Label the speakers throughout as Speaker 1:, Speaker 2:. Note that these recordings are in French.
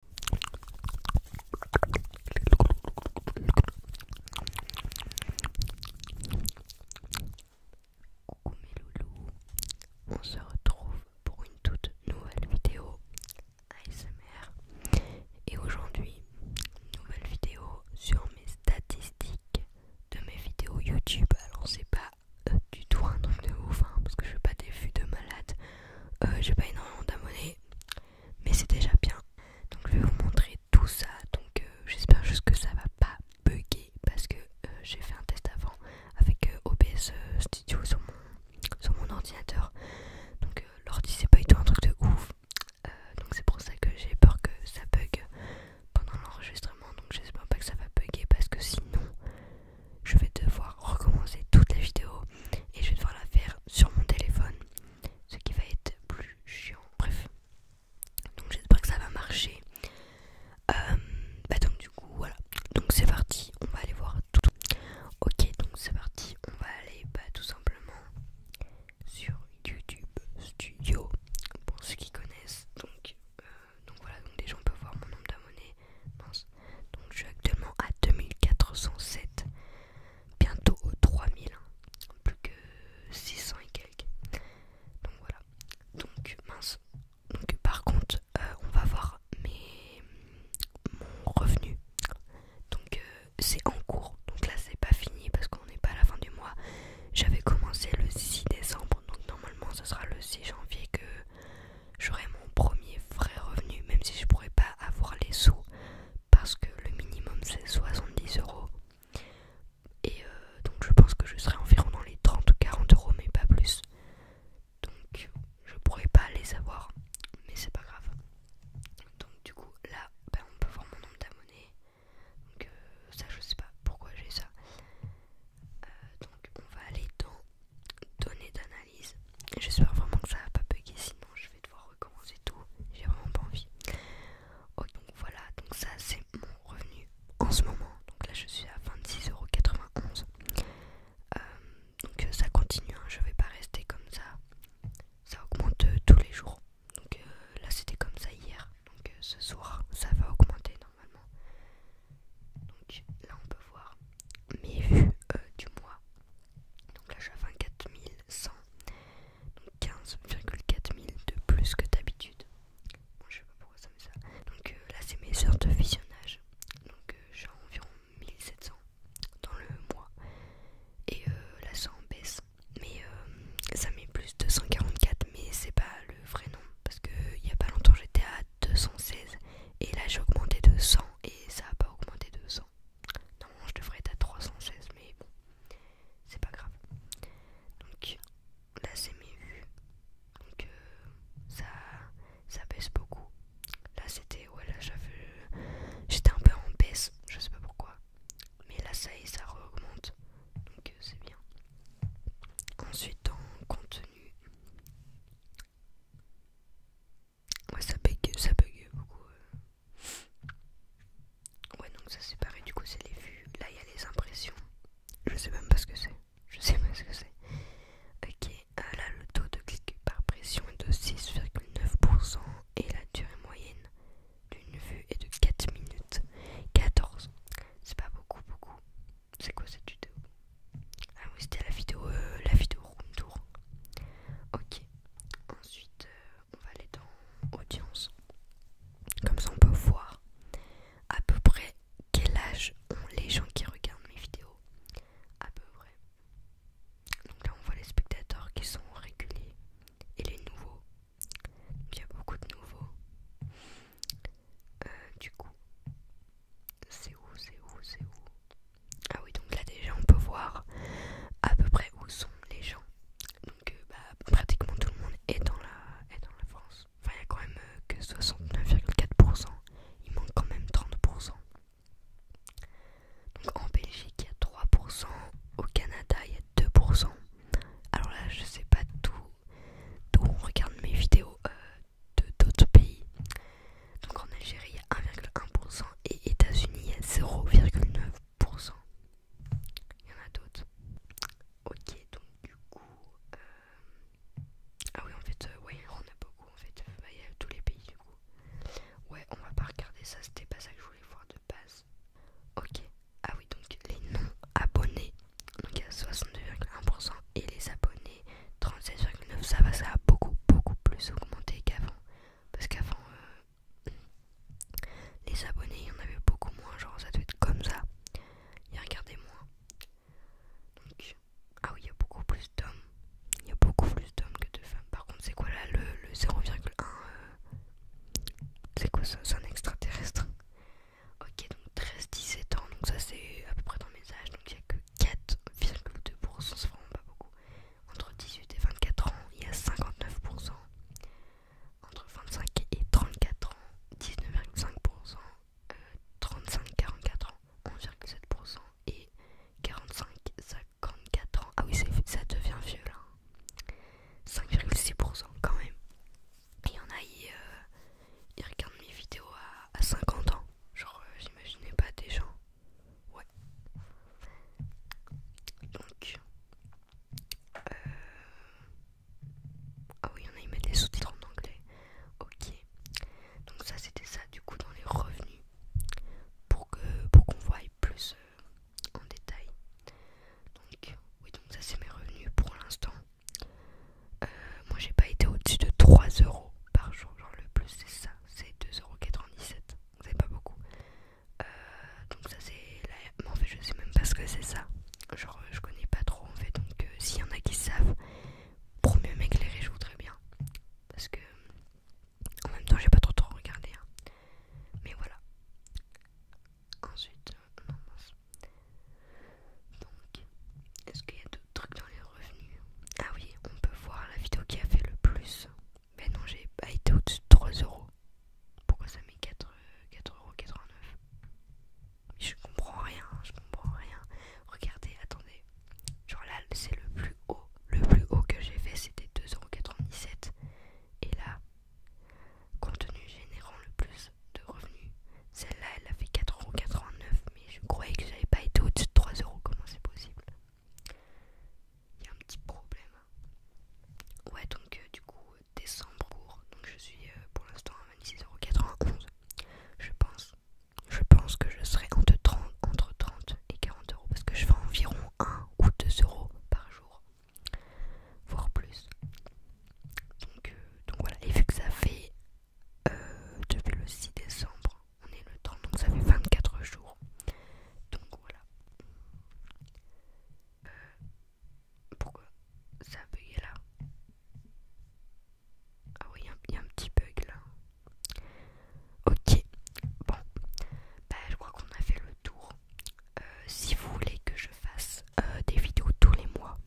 Speaker 1: Coucou mes loulous, on se retrouve pour une toute nouvelle vidéo ASMR et aujourd'hui nouvelle vidéo sur mes statistiques de mes vidéos YouTube. Alors c'est pas euh, du tout un truc de ouf hein, parce que je suis pas des de malade, euh, j'ai pas énormément d'abonnés mais, c'est déjà bien. Donc je vais vous montrer tout ça. Donc euh, j'espère juste que ça va pas bugger parce que euh, j'ai fait un test avant avec euh, OBS Studio sur mon, sur mon ordinateur. Donc l'ordi c'est pas du tout un truc de ouf. donc c'est pour ça que j'ai peur que ça bug pendant l'enregistrement. Donc j'espère pas que ça va bugger parce que sinon je vais devoir recommencer toute la vidéo et je vais devoir la faire sur mon téléphone, ce qui va être plus chiant. Bref, donc j'espère que ça va marcher. Euh, bah donc du coup voilà, donc c'est parti, on va aller voir tout. Ok, donc c'est parti, on va aller bah, tout simplement sur YouTube Studio pour ceux qui connaissent. Donc, euh, donc voilà, donc déjà on peut voir mon nombre d'abonnés donc je suis actuellement à 2407, bientôt 3000, hein. plus que 600 et quelques. Donc voilà. Donc mince. Donc par contre, euh, on va voir mon revenu. Donc euh, c'est en cours. Donc là c'est pas fini parce qu'on n'est pas à la fin du mois. J'avais commencé le 6 décembre, donc normalement ce sera le 6 janvier que j'aurai mon premier vrai revenu, même si je pourrais pas avoir les sous parce que le minimum c'est 70 euros. Et euh, donc je pense que je serai environ dans les 30 ou 40 euros, mais pas plus. Donc je pourrais pas les avoir, mais c'est pas grave. Donc du coup là, ben, on peut voir mon nombre d'abonnés. Donc euh, ça je sais pas pourquoi j'ai ça. Euh, donc on va aller dans données d'analyse. J'espère vraiment que ça va pas bugger, sinon je vais devoir recommencer tout. J'ai vraiment pas envie. donc voilà, donc ça c'est mon revenu en ce moment. Donc là je suis à 26,91€. Euh, donc euh, ça continue, hein, je vais pas rester comme ça. Ça augmente euh, tous les jours. Donc là c'était comme ça hier. Donc ce soir ça va augmenter normalement. Donc là on peut voir mes vues euh, du mois. Donc là, je suis à 24 donc 154000 de plus que d'habitude. je sais pas pourquoi ça met ça. Donc euh, là, c'est mes heures de visionnage. Donc euh, j'ai environ 1700 dans le mois. Et là, ça en baisse. Mais ça met plus de 144, mais c'est pas le vrai nombre parce que il y a pas longtemps j'étais à 216 et là j'ai augmenté de 100 et ça n'a pas augmenté de 100. Normalement je devrais être à 316 mais bon c'est pas grave. Donc là c'est mes vues. Donc euh, ça, ça baisse beaucoup. Là c'était ouais là j'avais j'étais un peu en baisse, je sais pas pourquoi. Mais là ça y ça augmente. Donc euh, c'est bien. Ensuite en contenu Ouais, ça bug, ça bug beaucoup. Euh. Ouais, donc ça c'est pareil, du coup c'est les vues. Là il y a les impressions. Je sais même pas ce que c'est. Je sais pas ce que c'est. Ok, euh, là le taux de clic par pression est de 6,9% et la durée moyenne d'une vue est de 4 minutes 14. C'est pas beaucoup, beaucoup. C'est quoi cette vidéo Ah oui, c'était la vidéo, euh, la vidéo room tour. Ok. Ensuite, euh, on va aller dans audience. Comme ça, on peut voir à peu près quel âge ont les gens qui regardent mes vidéos. À peu près. Donc là, on voit les spectateurs qui sont réguliers et les nouveaux. Il y a beaucoup de nouveaux. Euh, du coup, c'est où, c'est où, c'est où ah oui, donc là déjà on peut voir à peu près où sont les gens. Donc euh, bah, pratiquement tout le monde est dans la, est dans la France. Enfin, il n'y a quand même euh, que 69,4%. Il manque quand même 30%. Donc en Belgique, il y a 3%. Au Canada, il y a 2%. Alors là, je sais pas d'où on regarde mes vidéos. Euh, de d'autres pays. Donc en Algérie, 1,1% et États-Unis, 0,9%. Il y en a d'autres. Ok, donc du coup. Euh, ah oui, en fait, euh, ouais, on a beaucoup. En fait, bah, il y a tous les pays du coup. Ouais, on va pas regarder ça, c'était pas ça que je voulais voir de base. Ok, ah oui, donc les non-abonnés. Donc il y a 62,1% et les abonnés. 36,9 ça va ça a beaucoup beaucoup plus augmenté qu'avant parce qu'avant euh, les abonnés il y en avait beaucoup moins genre ça doit être comme ça et regardez moi donc ah oui il y a beaucoup plus d'hommes il y a beaucoup plus d'hommes que de femmes par contre c'est quoi là le, 0,1 euh, c'est quoi ça c'est un extraterrestre ok donc 13 17 ans donc ça c'est à peu près dans mes âges donc il y a que 4,2%, c'est vraiment pas beaucoup. Entre 18 et 24 ans, il y a 59%. Entre 25 et 34 ans, 19,5%. Euh, 35-44 ans, 11,7%. Et 45-54 ans, ah oui, ça devient vieux là. 5,6% quand même. Il y en a, eu ils regardent mes vidéos à, 50 ans. Genre, euh, j'imaginais pas des gens. Ouais. Donc. Euh... Ah oui, il y en a, des sous-titres en anglais. Ok. Donc, ça, c'était ça, du coup, dans les revenus. Pour qu'on pour qu'on voie plus euh, en détail. Donc, oui, donc ça, c'est mes revenus pour l'instant. Euh, moi j'ai pas été au-dessus de 3 euros par jour, genre le plus c'est ça, c'est 2,97€, c'est pas beaucoup. Euh, donc ça c'est Mais en fait je sais même pas ce que c'est ça, genre euh, je connais pas trop en fait, donc s'il y en a qui savent, pour mieux m'éclairer je voudrais bien. Parce que en même temps j'ai pas trop trop regardé, hein. mais voilà. Ensuite, donc, est-ce qu'il y a d'autres trucs dans les revenus Ah oui, on peut voir la vidéo qui a fait le plus. Mais non, j'ai été au-dessus de 3€. Pourquoi ça met 4,89€ euros Je comprends rien, je comprends rien. Regardez, attendez. Genre là, c'est le plus haut. Le plus haut que j'ai fait, c'était 2,97€. Et là, contenu générant le plus de revenus, celle-là, elle a fait 4,89€, mais je croyais que j'avais pas été au-dessus de 3€. Comment c'est possible Il y a un petit problème. Ouais, donc euh, du coup, euh, décembre court. Donc je suis euh, pour l'instant à 26,91€. Je pense. Je pense que je serai entre 30, et 40 euros parce que je fais environ 1 ou 2 euros par jour, voire plus. donc voilà. Et vu que ça fait euh, depuis le 6 décembre. On est le temps, donc ça fait 24 jours. Donc voilà. Euh, pourquoi ça a là Ah oui, il y, a un petit bug là. Ok, bon. Bah, je crois qu'on a fait le tour. Euh, si vous voulez que je fasse des vidéos tous les mois,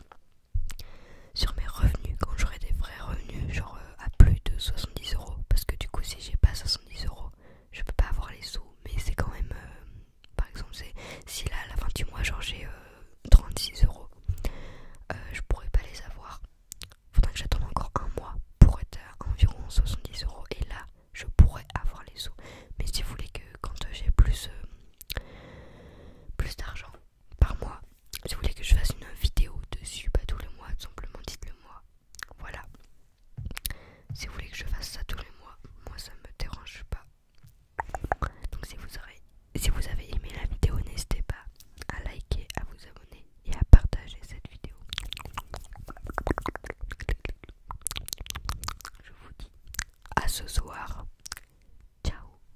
Speaker 1: sur mes revenus quand j'aurai des vrais revenus, genre euh, à plus de 70 euros. Parce que du coup, si j'ai pas 70 euros, je peux pas avoir les sous. Mais c'est quand même, euh, par exemple, c'est si là à la fin du mois, genre j'ai 36 euh, euros, je pourrais pas les avoir. Faudrait que j'attende encore un mois pour être à environ 70 euros. Et là, je pourrais avoir les sous. Mais si vous voulez que quand j'ai plus, plus d'argent, par mois. Si vous voulez que je fasse une vidéo dessus, pas bah, tous les mois, simplement dites-le moi. Voilà. Si vous voulez que je fasse ça tous les mois, moi ça me dérange pas. Donc si vous si vous avez aimé la vidéo, n'hésitez pas à liker, à vous abonner et à partager cette vidéo. Je vous dis à ce soir. Ciao